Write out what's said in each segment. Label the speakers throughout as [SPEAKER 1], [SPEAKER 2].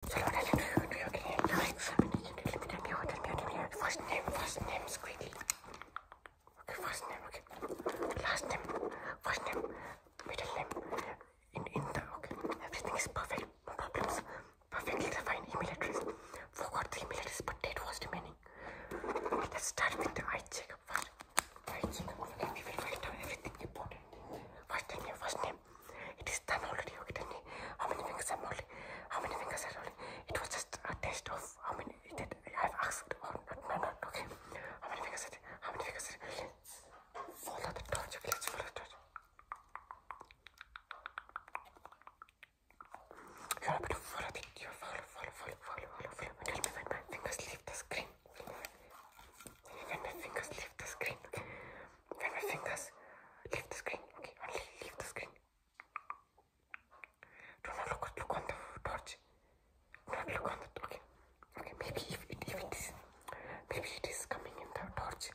[SPEAKER 1] First name, first name, squeaky. Okay, first name, okay. Last name, first name, middle name. In, in the, okay. Everything is perfect, no problems. Perfectly defined email address. Forgot the middle address, but date was demanding. Let's start with the eye check. first. Eye checkup, okay. We will write down everything important. First name, first name. It is done already. Okay, how many fingers i How many fingers i It was just a test of how many that I've asked or No, okay. How many fingers? Are how many fingers? Are follow the torch. Okay, let's follow the torch. follow follow, follow, follow, follow, follow, follow. my fingers leave the screen. When my fingers leave the screen when my fingers leave the screen. Okay, only leave the screen. Do not look, look on the torch. Do not look on the torch. Okay, okay. Maybe if it, if it is, maybe it is coming in the torch.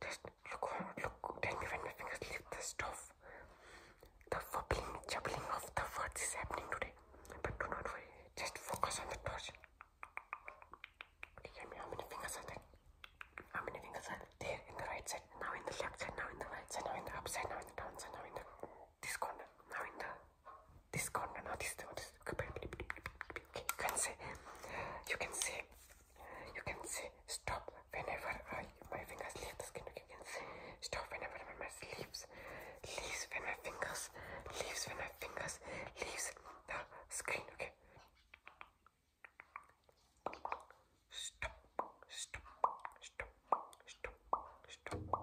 [SPEAKER 1] Just look on, look. Tell me when my fingers leave the stove. The wobbling, jubbling of the words is happening today. But do not worry. Just focus on the torch. Okay, tell me how many fingers i there? How many fingers are there in the right side? Now in the left side, now in the right side, now in the upside, now in the downside, now in the this corner, now in the this corner, now this now this okay, you can see. you can see. you can see. stop whenever I, my fingers leave the skin. You can see. stop whenever my leaves leaves when my fingers leaves when I fingers leaves the screen, okay? Stop, stop, stop, stop, stop.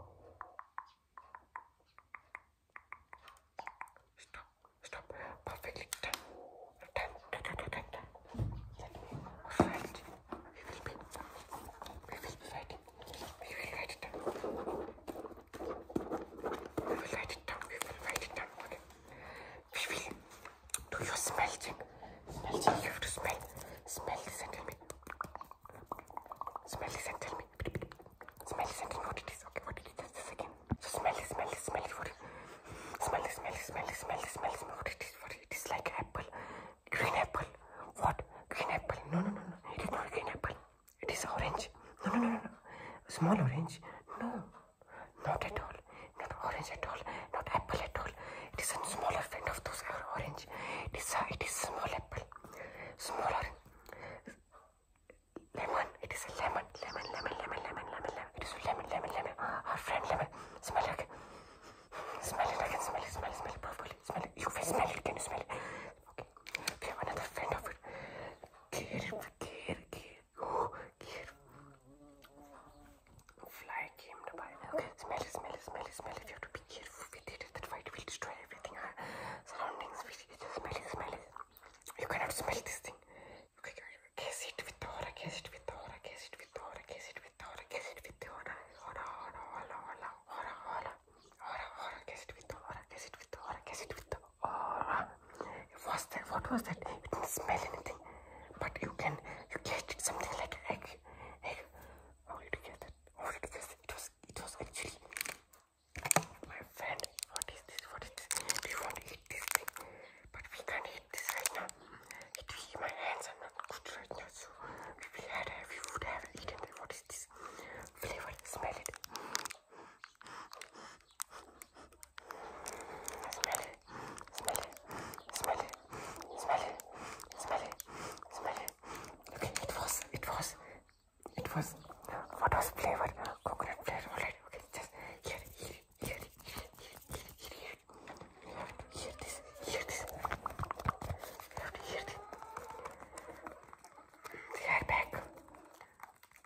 [SPEAKER 1] Stop, stop, perfectly done. Done, done, done, done, we will be, we will be fighting. We will write it we will write it down. We will write it down. Okay. We will do your smell check. Smell check. You have to smell. Smell this and tell me. Smell this and tell me. Smell this and tell me what it is. Okay, what it is. Just a second. So smell this, smell this, smell it. What it is. Smell this, smell this, smell this, smell this, smell this. What it is. What it is like apple. Green apple. What? Green apple. No, no, no, no. It is not green apple. It is orange. No, no, no, no, no. Small orange. No, not at all. Not orange at all. Not apple at all. It is a smaller friend of those orange. It is a, it is small apple. Smaller. Lemon. It is a lemon. Lemon, lemon, lemon, lemon, lemon, lemon. It is a lemon, lemon, lemon. Our friend lemon. Smell it. Smell it. I can smell it. Smell it. Smell it. Perfectly. Smell it. You can smell it. Can you smell it? Okay, we have another friend of it. Care, care, care. Oh, care. Fly came to buy. Okay, smell it, smell it, smell it, smell it. You have to be careful with it. That fight will destroy everything. Our surroundings. We smell it, smell it. You cannot smell this thing. You can guess it with aura, guess it with aura, guess it with aura, guess it with aura, guess it with aura. Aura, aura, aura, aura, aura, aura. Aura, aura, guess it with the aura, guess it with the aura, guess it with the aura. What's that? What was that? You didn't smell anything, but you can, you guessed something like egg. Egg. How did you guess that? How It was, it was actually my friend. What is this? What is this? Do want to eat this thing? But we can't eat this right now. It, my hands are not good right now, so if we had, we would have eaten it. What what is this flavor? Smell it. Smell it. Smell it. Smell it. Smell it. Smell it. Smell it. Okay, it was. It was. It was. What was flavor? Coconut flavor. Alright. Okay, just hear it. Hear it. Hear it. Hear it. Hear it. Hear it. You have to hear this. Hear this. You have to hear this. Тэгэхээр back.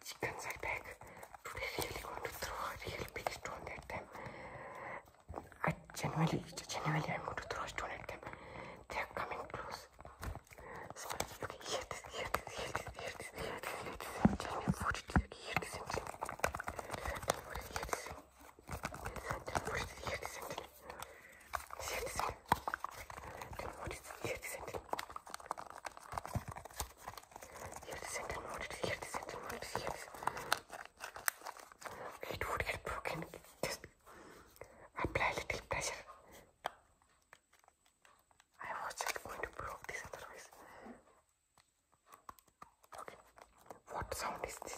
[SPEAKER 1] Chicken side back. Really going to throw a real big stone at them. I genuinely, genuinely I'm going to throw a stone at them. They are coming close. So, okay, here this, here this, here this, here this, here this, here this, and Jamie put it, here this, and Jamie. Here this, and Jamie. Here this, and Jamie. She had to send it. Then what is it? She had to send it. She had to send it. What is it? She had to send it. What is it? She had to send it. It would get broken. Just apply a little pressure. I was just going to broke this otherwise. Okay. What sound is this?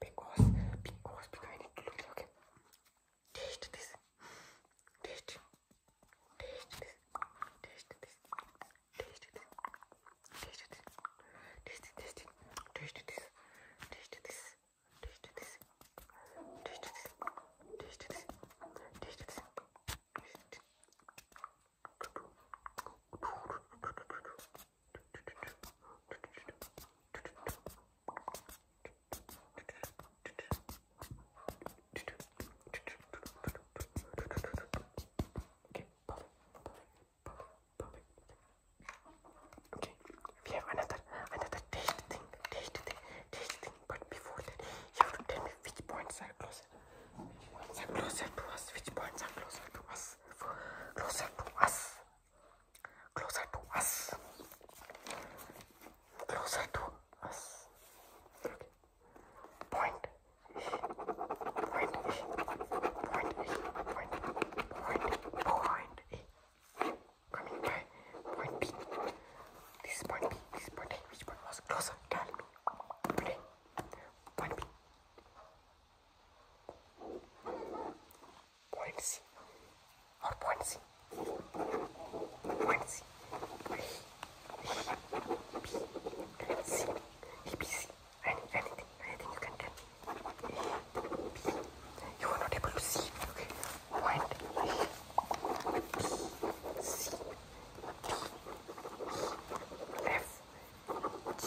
[SPEAKER 1] because because because I need to lose. Okay, taste this. Taste. Taste this. Taste this. Taste this. Taste this. Taste this. Taste this. Taste this. Taste this. Taste this. Taste this. Taste this. Taste this. Taste this. Okay, perfect, perfect, perfect, perfect. Okay, we have another, another taste thing, taste thing, taste thing. But before that, you have to tell me which points are closer. Which points are closer to us? Which points are closer to us? Closer to us closer to us, closer to us. Okay. Point, point, point, point, point, point. Coming by point B. This point B, this point A, which point was closer? Tell me. Today, point B. Point C or point C. Point C. B, B, B, C, E, B, C. Any, anything, anything you can tell me. E, B. You are not able to see it. Okay. Point E, B, C, D, E, F, G.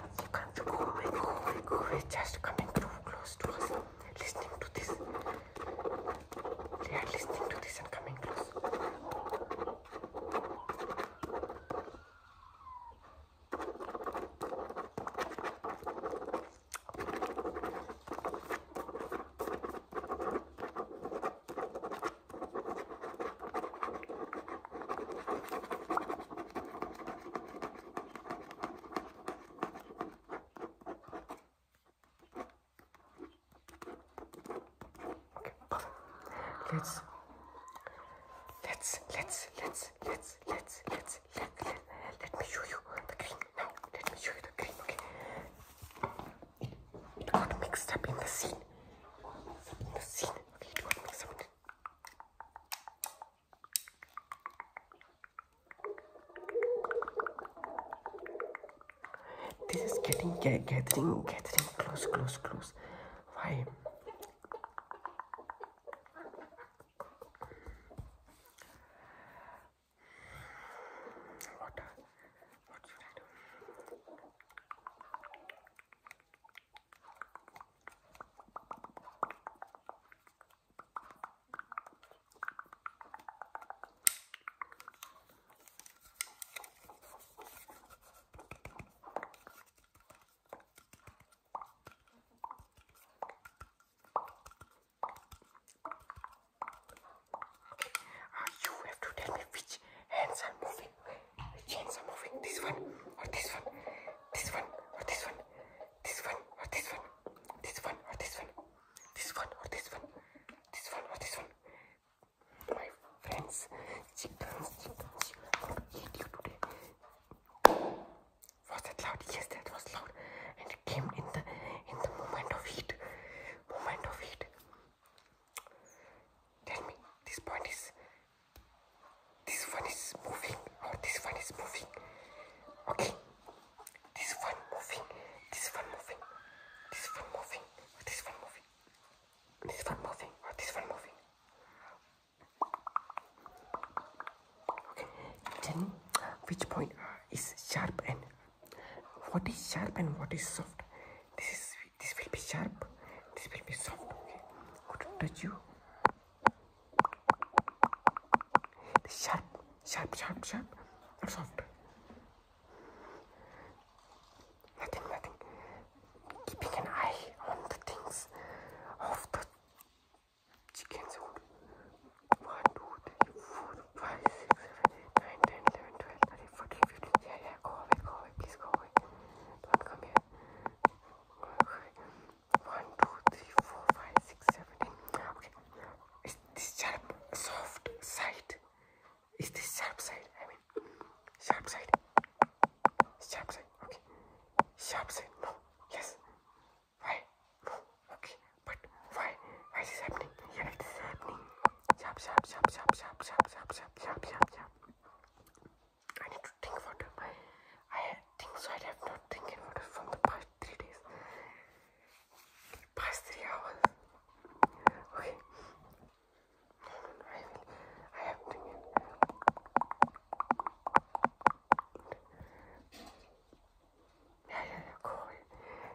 [SPEAKER 1] could, you can't be just coming too close to us, listening to this. They are listening to this and coming close let's let's let's let's let's let's let's let, let, let me show you the green now let me show you the green okay it got mixed up in the scene in the scene okay it got mixed up in this is getting gathering, gathering close, close, close. Why? What? What now you have to tell me which hands are moving. Which chains are moving? This one or this one? This one or this one? This one or this one? This one or this one? This one or this one? My friends, chickens, chickens, chickens eat you today. Was that loud? Yes, that was loud. And it came in the in the moment of heat. Moment of heat. Tell me, this point is. This one is moving, or this one is moving. Okay. This one moving, this one moving, this one moving, this one moving, this one moving, this one moving. Okay. Tell which point is sharp and what is sharp and what is soft? This is this will be sharp this will be soft okay good touch you the sharp sharp sharp sharp or soft nothing nothing keeping an eye on the things of the chickens one two three four five six seven 9, 10, 11, 12, 13, 14, 15. Yeah, yeah, go away, go away, please go away. Don't come here. 1, 2, 3, Okay. Is this sharp, soft side? Is this sharp side? I mean, sharp side. Sharp side. Okay. Sharp side. No. Yes. Why? No. Okay. But why? Why is happening? Yeah, it is happening. Yap, yap, yap, yap, yap, yap, yap, yap, yap, yap, yap. I need to think for them. I think so. I have not thinking about it from the past three days. Past three hours. Okay. No, no, no. I will. I have thinking. Yeah, yeah, yeah. Go away.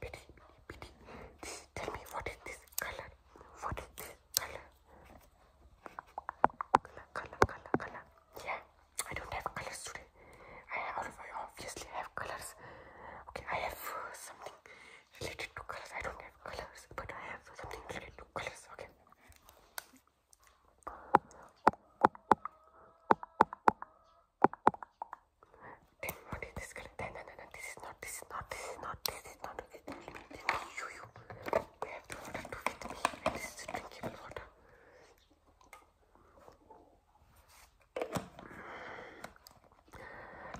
[SPEAKER 1] Pity, pity. This, tell me what is this color? What is this color? Color, color, color, color. Yeah, I don't have colors today. I, have, I obviously have colors. Okay, I have uh, something related to colors. I don't have colors, but I have something related to colors. Okay this is not, this is not, this is not, this is not. This is not you, water with me, this is drinkable water.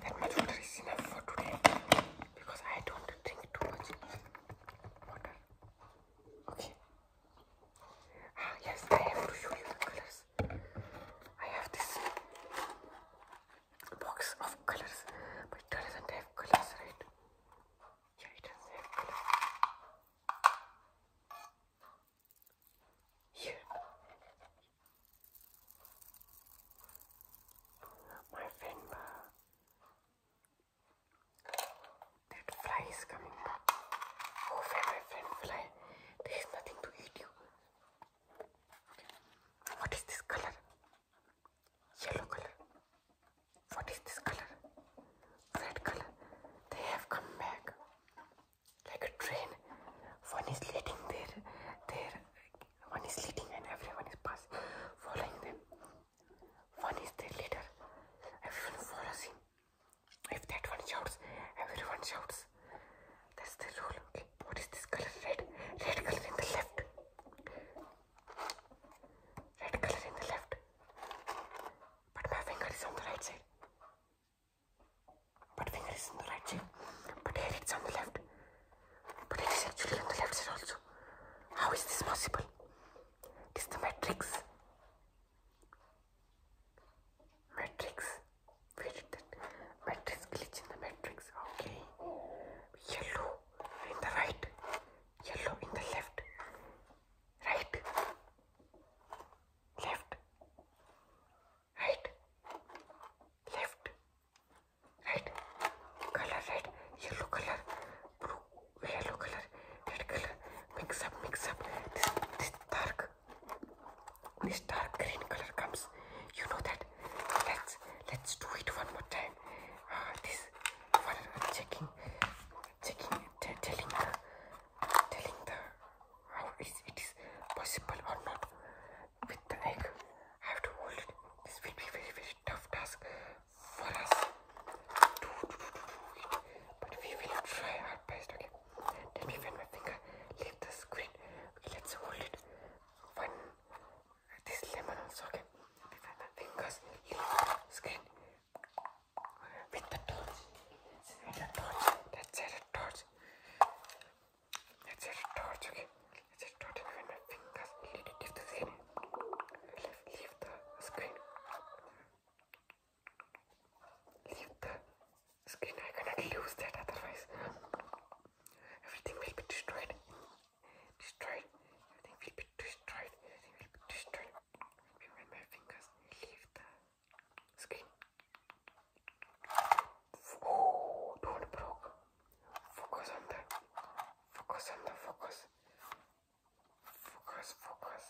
[SPEAKER 1] That much water is enough for today because I don't drink too much water. Okay. Ah, yes, I have to show you the colors. I have this box of colors, but it doesn't have colors, right? Yeah, it doesn't have colors. Here, my friend, uh, that fly is coming. Oh, my friend, fly. There is nothing to eat you. What is this color? Yellow color. What is this color? Red color. They have come back like a train. One is leading their, their, one is leading and everyone is passing, following them. One is their leader. Everyone follows him. If that one shouts, everyone shouts. That's the rule. Okay. What is this color? Red. Red color in the left. Red color in the left. But my finger is on the right side. But finger is on the right side. But here it's on the left. But it is actually on the left side also. How is this possible? It is the matrix. Matrix. Where did that? Matrix glitch in the matrix. Okay. Yellow in the right. Yellow in the left. Right. Left. Right. Left. Right. Color red. Yellow color. Blue yellow color, red color, mix up, mix up. This, this dark, this dark green color comes. You know that. Let's let's do it one more time. Uh, this checking, checking, telling the, telling the how is it is possible or not with the egg. I have to hold it. This will be very very tough task for us. But we will try our best, okay? Let me find my finger leave the screen. let's hold it. One, this lemon also, okay? Before my fingers leave the screen. With the torch. Let's torch. Let's torch. Let's torch, okay? Let's add a torch my fingers leave the screen. Leave, leave the screen leave the skin. I cannot lose that otherwise everything will be destroyed. Destroyed. Everything will be destroyed. Everything will be destroyed. Maybe my fingers leave oh, the skin. don't broke. Focus on the focus on the focus. Focus, focus.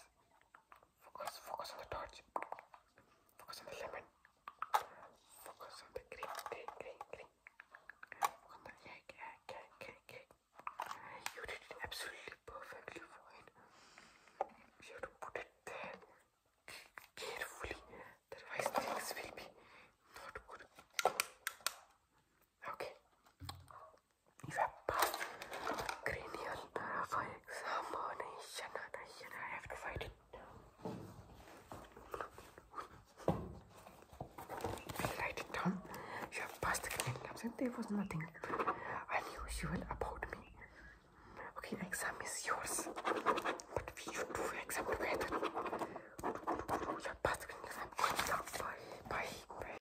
[SPEAKER 1] Focus, focus on the torch. Focus on the lemon. Focus on the green, green, green, green. on the cake, cake, cake, cake. You did it absolutely perfectly fine. You have to put it there carefully, otherwise things will be not good. Okay, Cranial for examination. I have to find it. I write it down. You have passed the cranial and there was nothing unusual about me. Okay, exam is yours. But we should do exam together. You passed the exam. By, by, by.